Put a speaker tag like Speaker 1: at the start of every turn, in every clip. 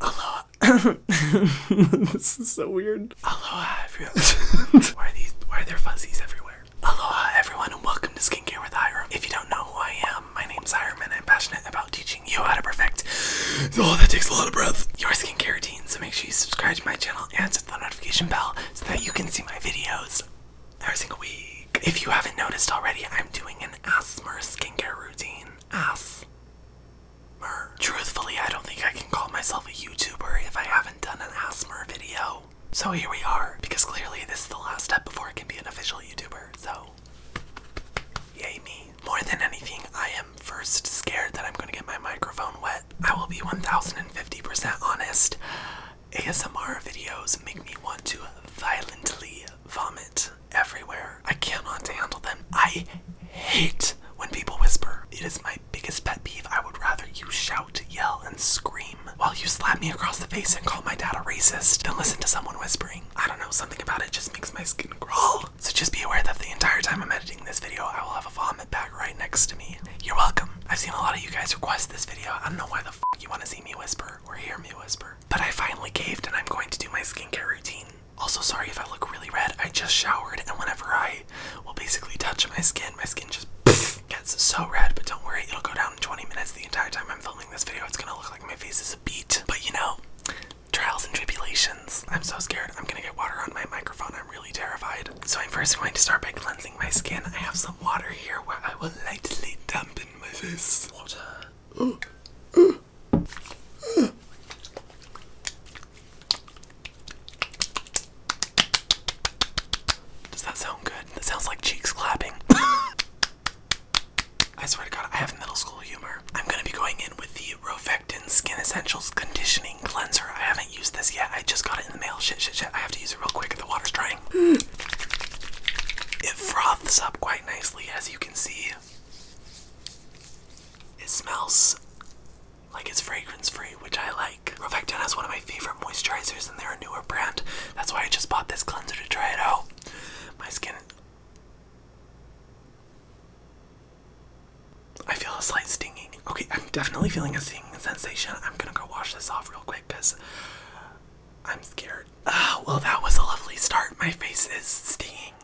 Speaker 1: Aloha. this is so weird. Aloha, everyone. why, are these, why are there fuzzies everywhere? Aloha, everyone, and welcome to Skincare with Hiram. If you don't know who I am, my name's Hiram, and I'm passionate about teaching you how to perfect. Oh, that takes a lot of breath. Your skincare routine, so make sure you subscribe to my channel and hit the notification bell so that you can see my videos every single week. If you haven't noticed already, I'm doing an asthma skincare routine. Ass truthfully, I don't think I can call myself a YouTuber if I haven't done an ASMR video. So here we are, because clearly this is the last step before I can be an official YouTuber, so yay me. More than anything, I am first scared that I'm gonna get my microphone wet. I will be 1050% honest. ASMR videos make me want to violently vomit everywhere. I cannot handle them. I hate when people whisper. It is my biggest pet peeve. I would rather you shout, yell, and scream while you slap me across the face and call my dad a racist than listen to someone whispering. I don't know, something about it just makes my skin crawl. So just be aware that the entire time I'm editing this video, I will have a vomit bag right next to me. You're welcome. I've seen a lot of you guys request this video. I don't know why the fuck you want to see me whisper or hear me whisper, but I finally caved and I'm going to do my skincare routine. Also, sorry if I look really red. I just showered, and whenever I will basically touch my skin, my skin just gets so red. But don't worry, it'll go down in 20 minutes. The entire time I'm filming this video, it's gonna look like my face is a beat. But you know, trials and tribulations. I'm so scared. I'm gonna get water on my microphone. I'm really terrified. So I'm first going to start by cleansing my skin. I have some water here where I will lightly dampen my face. Water. Does that sound good? That sounds like cheeks clapping. I swear to God, I have middle school humor. I'm gonna be going in with the Rofectin Skin Essentials Conditioning Cleanser. I haven't used this yet. I just got it in the mail. Shit, shit, shit. I have to use it real quick. The water's drying. It froths up quite nicely, as you can see. It smells like it's fragrance free, which I like. Rovectin has one of my favorite moisturizers and they're a newer brand. That's why I just bought this cleanser to try it out. My skin. I feel a slight stinging. Okay, I'm definitely feeling a stinging sensation. I'm gonna go wash this off real quick because I'm scared. Ah, well, that was a lovely start. My face is stinging.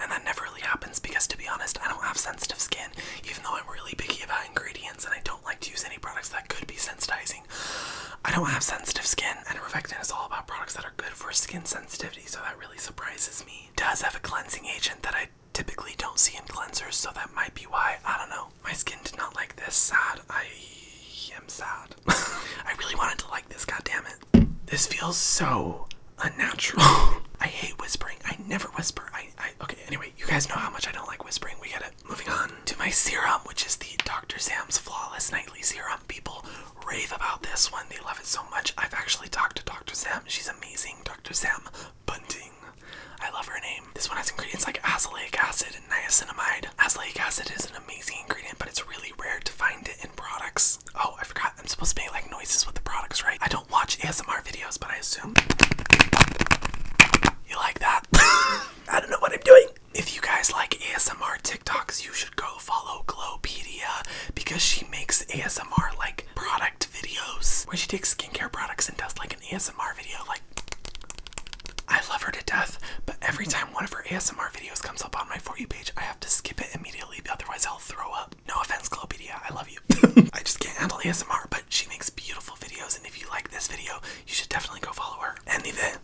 Speaker 1: And that never really happens because, to be honest, I don't have sensitive skin, even though I'm really picky about ingredients and I don't like to use any products that could be sensitizing. I don't have sensitive skin, and Revectin is all about products that are good for skin sensitivity, so that really surprises me. does have a cleansing agent that I typically don't see in cleansers, so that might be why. I don't know. My skin did not like this. Sad. I am sad. I really wanted to like this, God damn it. This feels so unnatural. I hate whispering. I never whisper. I, okay, anyway, you guys know how much I don't like whispering. We got to Moving on to my serum, which is the Dr. Sam's Flawless Nightly Serum. People rave about this one. They love it so much. I've actually talked to Dr. Sam. She's amazing. Dr. Sam Bunting. I love her name. This one has ingredients like azelaic acid and niacinamide. Azelaic acid is an amazing ingredient, but it's really rare to find it in products. Oh, I forgot I'm supposed to make like noises with the products, right? I don't watch ASMR videos, but I assume you like that. I don't know what I'm doing. If you guys like ASMR TikToks, you should go follow Glowpedia because she makes ASMR like product videos where she takes skincare products and does like an ASMR video. Like, I love her to death, but every time one of her ASMR videos comes up on my For You page, I have to skip it immediately, otherwise, I'll throw up. No offense, Glopedia, I love you. I just can't handle ASMR, but she makes beautiful videos, and if you like this video, you should definitely go follow her. And then,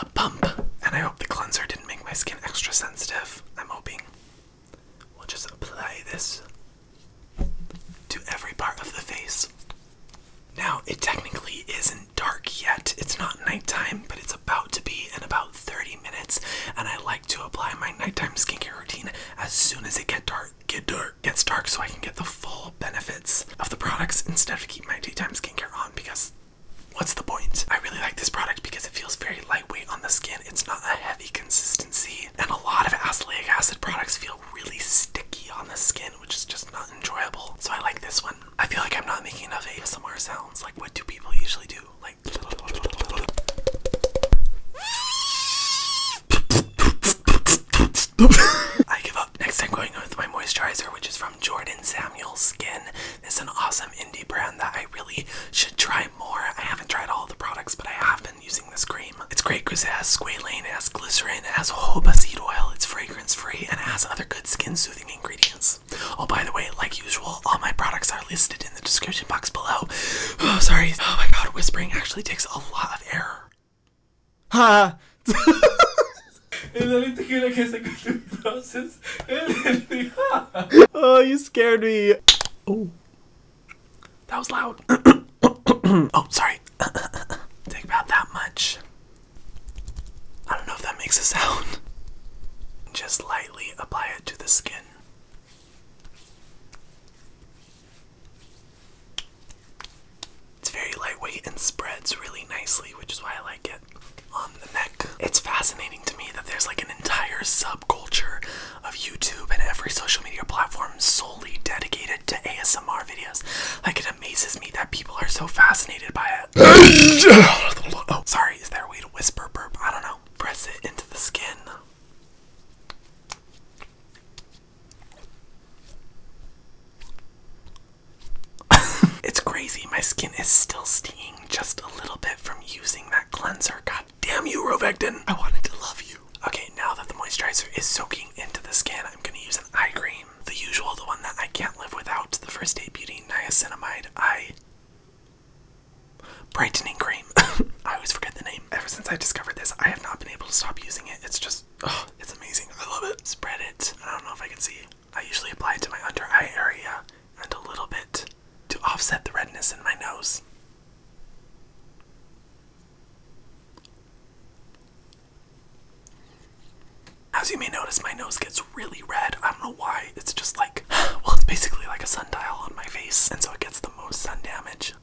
Speaker 1: a pump. And I hope the cleanser didn't make my skin extra sensitive. I'm hoping. We'll just apply this to every part of the face. Now, it technically isn't dark yet. It's not nighttime, but it's about to be and about 30 minutes, and I like to apply my nighttime skincare routine as soon as it get dark, get dark, gets dark, so I can get the full benefits of the products instead of keeping my daytime skincare on because what's the point? I really like this product because it feels very lightweight on the skin. It's not a heavy consistency, and a lot of azelaic acid products feel really sticky on the skin, which is just not enjoyable. So I like this one. I feel like I'm not making enough ASMR sounds. Like, what do people usually do? I give up. Next I'm going with my moisturizer which is from Jordan Samuel Skin. It's an awesome indie brand that I really should try more. I haven't tried all the products but I have been using this cream. It's great because it has squalane, it has glycerin, it has jojoba seed oil, it's fragrance free and it has other good skin soothing ingredients. Oh, by the way, like usual, all my products are listed in the description box below. Oh, sorry. Oh my god, whispering actually takes a lot of air. Ha! oh, you scared me. Oh, that was loud. oh, sorry. Take about that much. I don't know if that makes a sound. Just like apply it to the skin. It's very lightweight and spreads really nicely, which is why I like it. On the neck, it's fascinating to me that there's like an entire subculture of YouTube and every social media platform solely dedicated to ASMR videos. Like, it amazes me that people are so fascinated by it oh, sorry, is there a way to whisper burp? I don't know. Press it into the skin. it's crazy, my skin is still stinging just a little bit from using that cleanser. God damn you, Rovectin! I wanted to love you. Okay, now that the moisturizer is soaking into the skin, I'm gonna use an eye cream. The usual, the one that I can't live without, the First Aid Beauty Niacinamide Eye brightening cream. I always forget the name. Ever since I discovered this, I have not been able to stop using it. It's just, oh, it's amazing. I love it. Spread it. I don't know if I can see. I usually apply it to my under eye area and a little bit to offset the redness in my nose. As you may notice, my nose gets really red. I don't know why. It's just like, well, it's basically like a sundial on my face, and so it gets the most sun damage.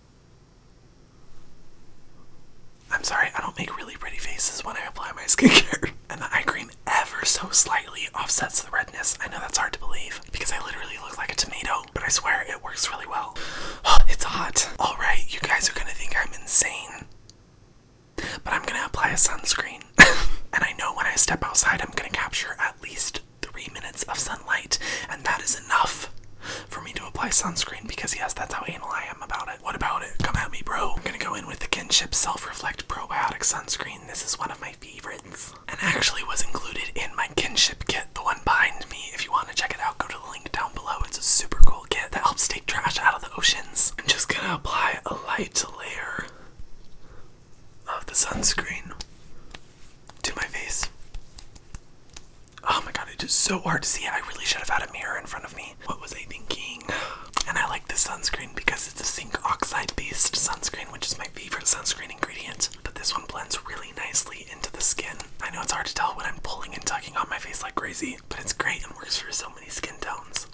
Speaker 1: I'm sorry, I don't make really pretty faces when I apply my skincare. and the eye cream ever so slightly offsets the redness. I know that's hard to believe because I literally look like a tomato, but I swear it works really well. it's hot. Alright, you guys are gonna think I'm insane. But I'm gonna apply a sunscreen and I know when I step outside, I'm going to capture at least three minutes of sunlight, and that is enough for me to apply sunscreen because, yes, that's how anal I am about it. What about it? Come at me, bro. I'm going to go in with the Kinship Self Reflect Probiotic Sunscreen. This is one of my favorites and actually was included in my Kinship kit, the one behind me. If you want to check it out, go to the link down below. It's a super cool kit that helps take trash out of the oceans. I'm just going to apply a light layer of the sunscreen to my face. Oh my god, it is so hard to see. I really should have had a mirror in front of me. What was I thinking? And I like this sunscreen because it's a zinc oxide based sunscreen, which is my favorite sunscreen ingredient. But this one blends really nicely into the skin. I know it's hard to tell when I'm pulling and tugging on my face like crazy, but it's great and works for so many skin tones.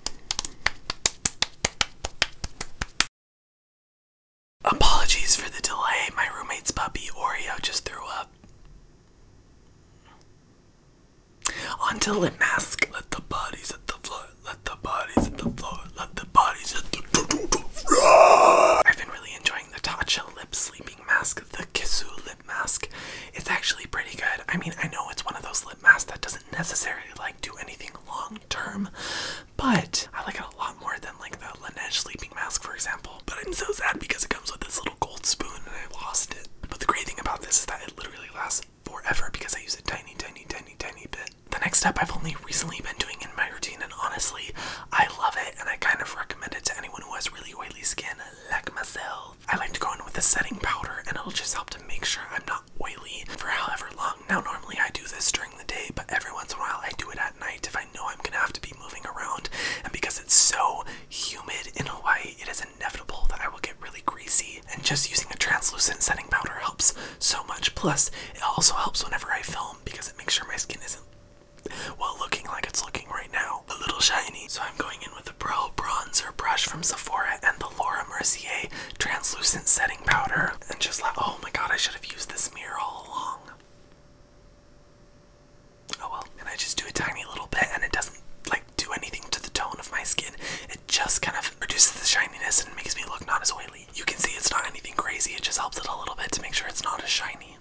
Speaker 1: Apologies for the delay. My roommate's puppy Oreo just threw up. Until lip mask. Let the bodies at the floor. Let the bodies at the floor. Let the bodies at the floor. I've been really enjoying the Tatcha lip sleeping mask, the Kisu lip mask. It's actually pretty good. I mean, I know it's one of those Mask that doesn't necessarily like do anything long term, but I like it a lot more than like the Laneige sleeping mask, for example. But I'm so sad because it comes with this little gold spoon and I lost it. But the great thing about this is that it literally lasts forever because I use a tiny, tiny, tiny, tiny bit. The next step I've only recently been doing in my routine, and honestly, I love it and I kind of recommend it to anyone who has really oily skin like myself. I like to go in with a setting powder and it'll just help to make sure I'm not not oily for however long. Now, normally I do this during the day, but every once in a while I do it at night if I know I'm gonna have to be moving around. And because it's so humid in Hawaii, it is inevitable that I will get really greasy. And just using a translucent setting powder helps so much. Plus, it also helps whenever I film because it makes sure my skin isn't well looking like it's looking right now. A little shiny. So I'm going in with a Pro Bronzer brush from Sephora and the Laura Mercier translucent setting powder and just like, oh my god, I should have used this mirror all along. Oh well, and I just do a tiny little bit and it doesn't like do anything to the tone of my skin. It just kind of reduces the shininess and makes me look not as oily. You can see it's not anything crazy, it just helps it a little bit to make sure it's not as shiny.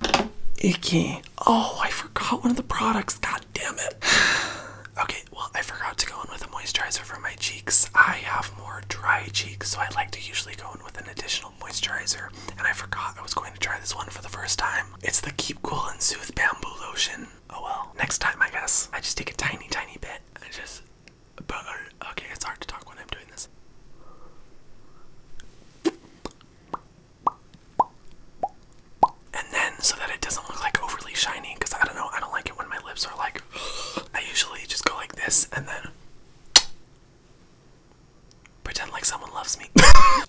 Speaker 1: Icky. Oh, I forgot one of the products. God damn it. okay, well, I forgot to go in with a moisturizer for my cheeks. I have more dry cheeks, so I like to usually go in with an additional moisturizer. And I forgot I was going to try this one for the first time. It's the Keep Cool and Soothe Bamboo Lotion. Oh well, next time I guess. I just take a tiny, tiny bit. I just, but okay, it's hard to talk when I'm doing this. And then, so that it doesn't look like overly shiny, because I don't know, I don't like it when my lips are like I usually just go like this and then pretend like someone loves me.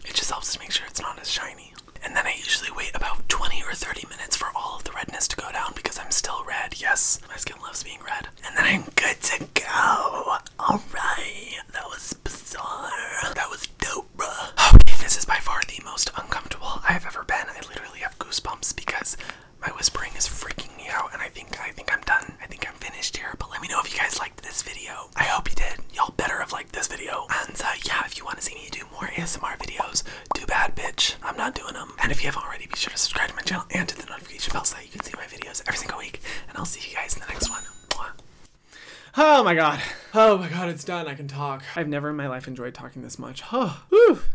Speaker 1: it just helps to make sure it's not as shiny. And then I usually wait about 20 or 30 minutes for all of the redness to go down because I'm still red. Yes, my skin loves being red. And then I'm good to go. Alright, that was bizarre. That was dope, bro. Okay, this is by far the most uncomfortable I've ever been. I literally have goosebumps because my whispering is freaking me out, and I think I think I'm done. I think I'm finished here. But let me know if you guys liked this video. I hope you did. Y'all better have liked this video. And uh, yeah, if you want to see me do more ASMR videos, too bad, bitch. I'm not doing them. And if you haven't already, be sure to subscribe to my channel and to the notification bell so that you can see my videos every single week. And I'll see you guys in the next one. Oh my god. Oh my god, it's done. I can talk. I've never in my life enjoyed talking this much. Oh,